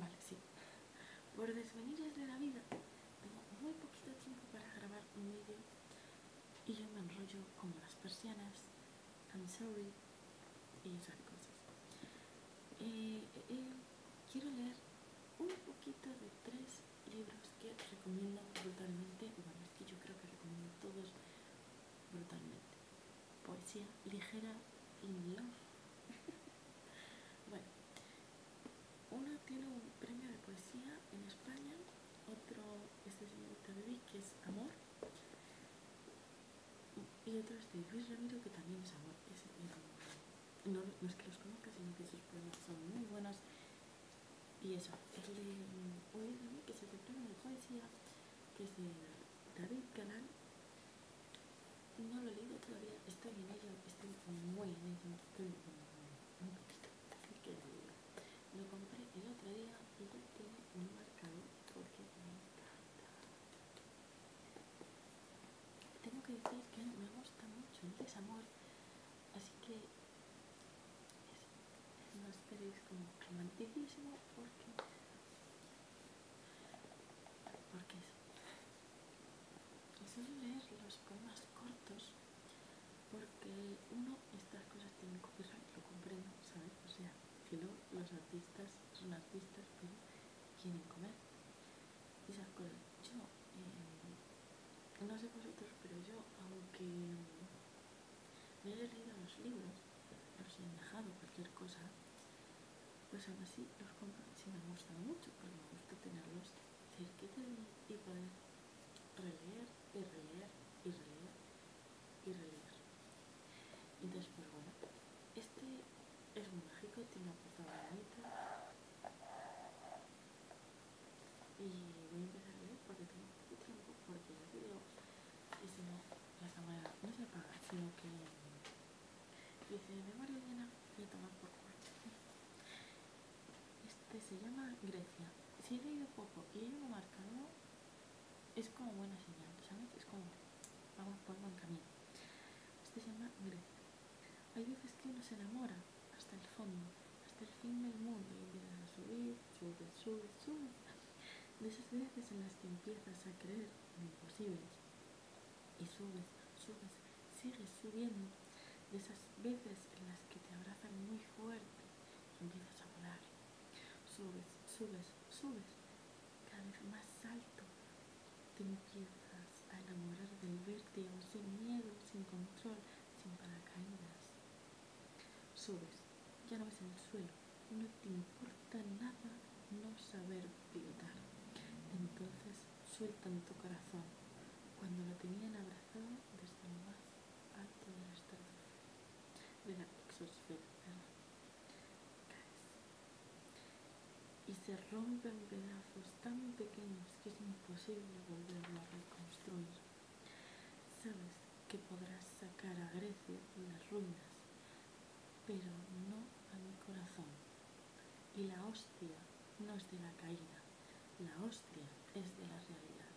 Vale, sí. Por desvenires de la vida, tengo muy poquito tiempo para grabar un vídeo y yo me enrollo como las persianas. I'm sorry. Y esas cosas. Eh, eh, quiero leer un poquito de tres libros que recomiendo brutalmente. Bueno, es que yo creo que recomiendo todos brutalmente poesía ligera y love. bueno, uno tiene un premio de poesía en España, otro es de David, que es Amor, y otro es de Luis Ramiro, que también es Amor. no, no es que los conozca, sino que sus poemas son muy buenos. Y eso, es de Luis Ramiro, que se el premio de poesía, que es de David Canal no lo he leído todavía, estoy en ello, estoy muy en ello, estoy un poquito que lo compré el otro día y ya tiene un marcador porque me encanta. Tengo que decir que me gusta mucho el desamor, así que no esperéis como romanticismo porque porque es leer los poemas cortos porque uno estas cosas tienen que lo comprendo sabes o sea que luego los artistas son artistas pero quieren comer Y esas cosas yo eh, no sé vosotros pero yo aunque me he leído los libros si han dejado cualquier cosa, pues aún así los compro. si me gustan mucho, porque me gusta tenerlos cerca de mí y poder releer y releer y releer y releer. Y después, bueno, este es muy mágico, tiene una portada bonita. Y voy a empezar a leer porque tengo un poco de tiempo, porque ya vídeo y no la cámara no se apaga, sino que dice memoria llena y tomar por cuarto. Este se llama Grecia. Si he leído poco y he marcado, es como buena señal, ¿sabes? Es como vamos por buen camino. Este se llama Grecia. Hay veces que uno se enamora hasta el fondo, hasta el fin del mundo y empiezas a subir, sube, sube, sube de esas veces en las que empiezas a creer en imposibles y subes, subes, sigues subiendo, de esas veces en las que te abrazan muy fuerte y empiezas a volar, subes, subes, subes, cada vez más alto, te empiezas a enamorar del vértigo sin miedo, sin control, sin paracaídas, subes ya no ves el suelo, no te importa nada no saber pilotar. Entonces sueltan tu corazón cuando lo tenían abrazado desde lo más alto de la de la exosfera, Y se rompen pedazos tan pequeños que es imposible volverlo a reconstruir. ¿Sabes? que podrás sacar a Grecia de las ruinas, pero no a mi corazón. Y la hostia no es de la caída, la hostia es de la realidad.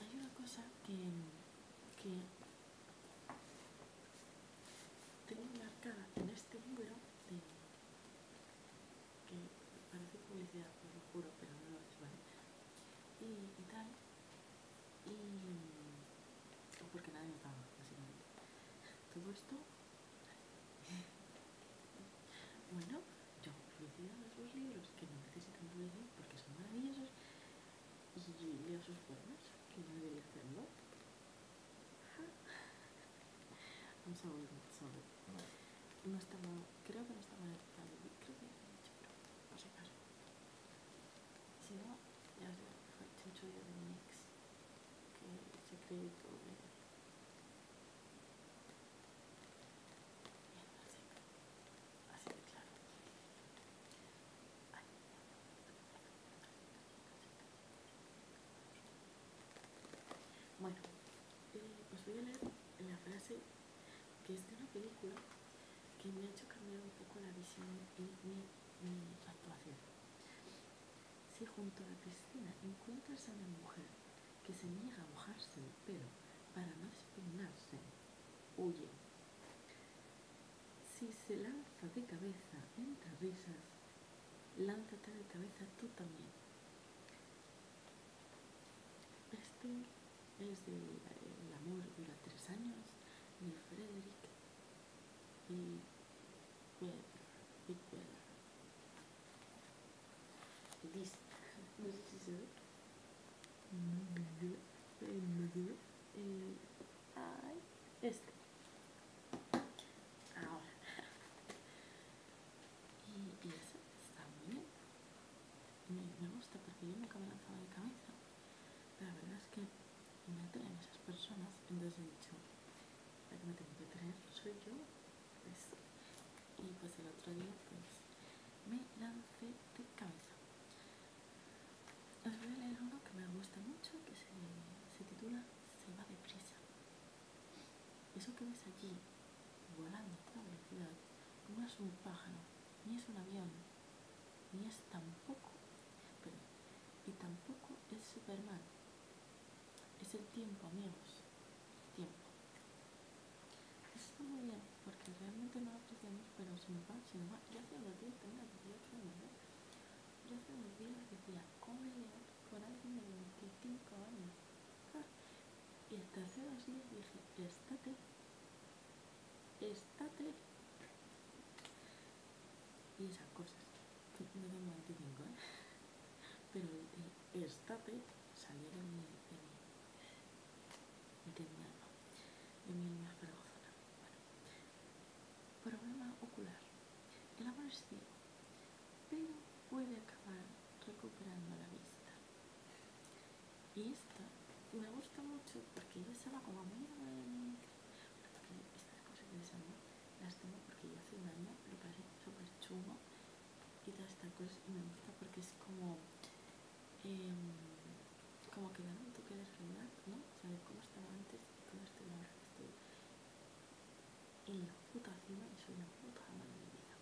Hay una cosa que, que tengo marcada en este libro que parece publicidad, pues lo juro, pero no lo es, ¿vale? Y, tal, y. porque nadie me paga, básicamente. Todo esto. bueno, yo publicidad los dos libros que no necesitan publicidad porque son maravillosos y vio sus perros, que yo debería hacerlo. I'm sorry, I'm sorry. No. no estamos, creo que no estamos en el tal de creo que ya lo he dicho, pero no sé caso. Si no, ya os digo, fue Chucho de Mix, que se cree todo bien. Así de claro. Bueno, os eh, pues voy a leer la frase que es de una película que me ha hecho cambiar un poco la visión y mi, actuación. Si junto a Cristina encuentras a una mujer que se niega a mojarse pero, para no espinarse, huye. Si se lanza de cabeza entre risas, lánzate de cabeza tú también. Este es de El amor dura tres años de Frederick y Dice, no sé si se ve. Eh, Ay, este. Ahora. Y, eso está muy bien. Me, gusta porque yo nunca me lanzado de cabeza. Pero la verdad es que me traen esas personas. Entonces he dicho, la que me tengo que traer soy yo. Pues, y pues el otro día pues me lancé de cabeza. Os voy a leer uno que me gusta mucho, que se, titula Se va deprisa. Eso que ves allí, volando a toda velocidad, no es un pájaro, ni es un avión, ni es tampoco, pero, y tampoco es Superman. Es el tiempo, amigos, el tiempo. muy porque realmente no apreciamos, pero si va, se va. Ya hacía unos días tenía Yo hace días decía, alguien de 25 años? Y hasta hace días dije, estate, estate. Y esas cosas. No tengo 25, ¿eh? Pero eh, estate salió mi, mi, alma, de mi problema ocular. El amor es ciego, pero puede acabar recuperando la vista. Y esta me gusta mucho porque yo estaba como a mí, porque estas cosas de amo las tengo porque yo hace un año lo pasé súper chulo y todas estas cosas y me gusta porque es como Mm, como que bueno, tú quieres reinar, ¿no? Saber cómo estaba antes y cómo estoy ahora que estoy en la puta cima y soy una puta madre de mi vida.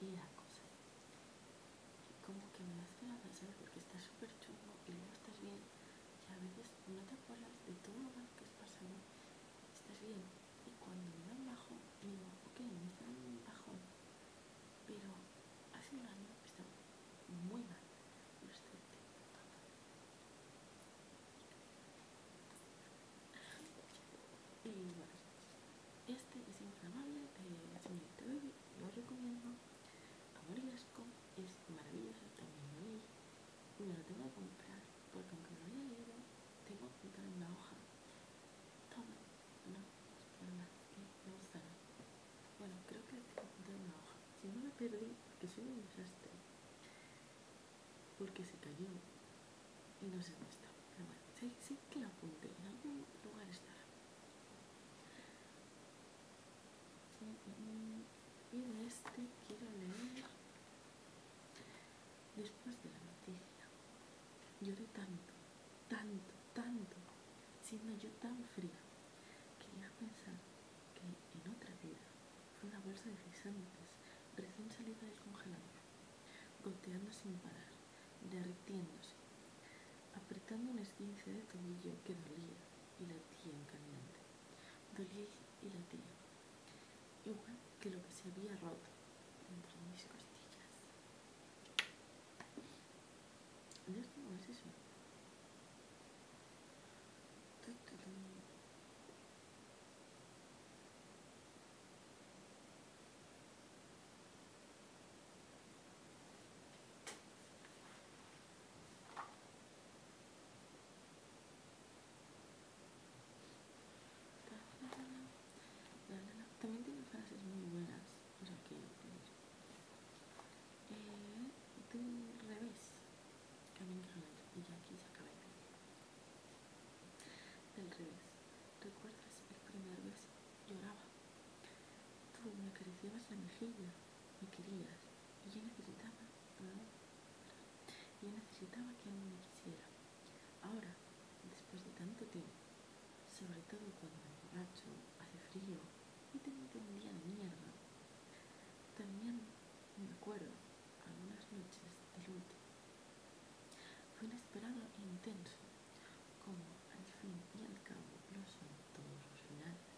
Y la cosa, como que me la la ¿sabes?, porque está súper chulo y luego estás bien y a veces no te acuerdas de todo lo malo que has pasado, estás bien y cuando me dan bajo, digo, ok, me dan bajo pero hace un año estaba muy mal, lo estoy Y bueno, este es inflamable de bebé, Baby, lo recomiendo. asco es maravilloso también lo leí. Me lo tengo que comprar porque aunque no haya leído, tengo que en una hoja. Toma, no, nada, no está nada. Bueno, creo que en una hoja. Si no la perdí, porque soy un desastre. Porque se cayó y no sé dónde está. Pero bueno, sí que la apunté, en algún lugar está. Y de este quiero leer después de la noticia. Lloré tanto, tanto, tanto, siendo yo tan fría, quería pensar que en otra vida fue una bolsa de guisantes recién salida del congelador, goteando sin parar, derritiéndose, apretando un esquince de tobillo que dolía y latía en caliente. Dolía y latía, igual que lo que se había roto entre mis costillas. No eso. También tiene frases muy buenas por pues aquí del eh, revés y ya aquí se acaba el El revés recuerdas el primer vez? lloraba tú me acariciabas la mejilla me querías y yo necesitaba y yo necesitaba que alguien me quisiera ahora después de tanto tiempo sobre todo cuando me borracho, hace frío y tengo un día de mierda. También me acuerdo algunas noches de último. Fue inesperado e intenso, como al fin y al cabo lo son todos los finales.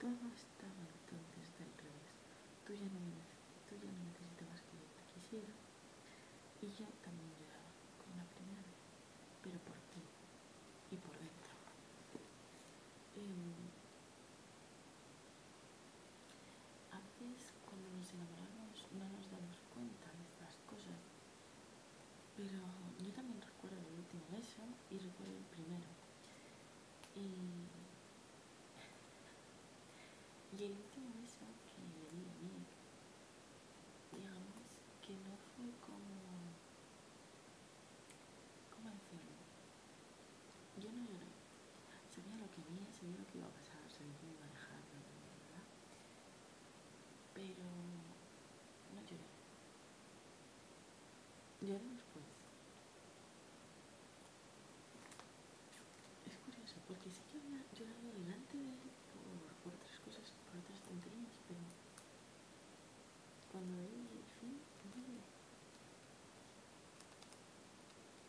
Todo estaba entonces del revés. Tú ya no, me, no necesitabas que yo te quisiera. Y yo también lloraba con la primera vez, pero por ti y por dentro. Em, a veces cuando nos enamoramos no nos damos cuenta de estas cosas, pero yo también recuerdo el último beso y recuerdo el primero. Y, y el último beso que le di a mí digamos que no fue como ¿cómo decirlo yo no lloré sabía lo que había, sabía lo que iba a pasar sabía que me iba a dejar pero no lloré lloré después es curioso porque sí que había llorado delante de él por, otras cosas, por otras tonterías, pero cuando vi el fin, no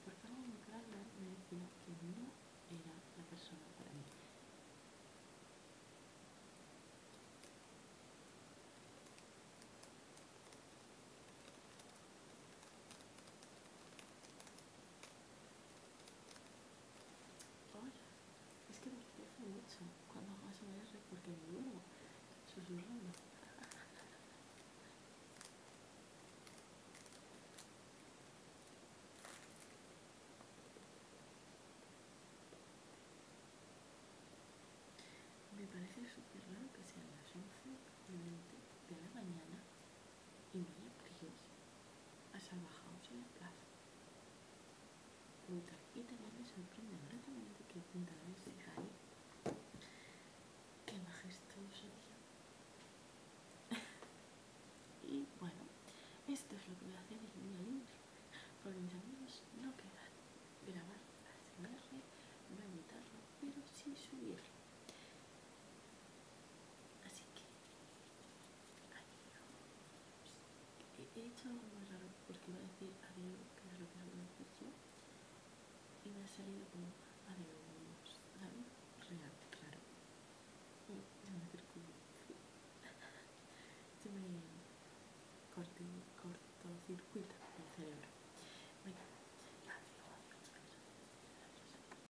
por algo me ¿eh? me decía que no era la persona para mí. Hola, es que me interesa mucho cuando hago ASMR porque me duermo susurrando. Me parece súper raro que sean las 11 de la mañana y no le obliguéis a bajado en la plaza. Preguntar, y también me sorprende gratamente que de cae qué majestuoso día. y bueno, esto es lo que voy a hacer en mi libro, porque mis amigos no quedan grabar voy a imitarlo, pero sí subirlo. Así que Adiós. He hecho algo muy raro porque iba a decir adiós, que era lo que había dicho, y me ha salido como adiós, ¿sabes? Real, claro. Y mm, me acerco. yo me corto cortó circuito del cerebro. Venga, adiós, adiós, adiós, adiós,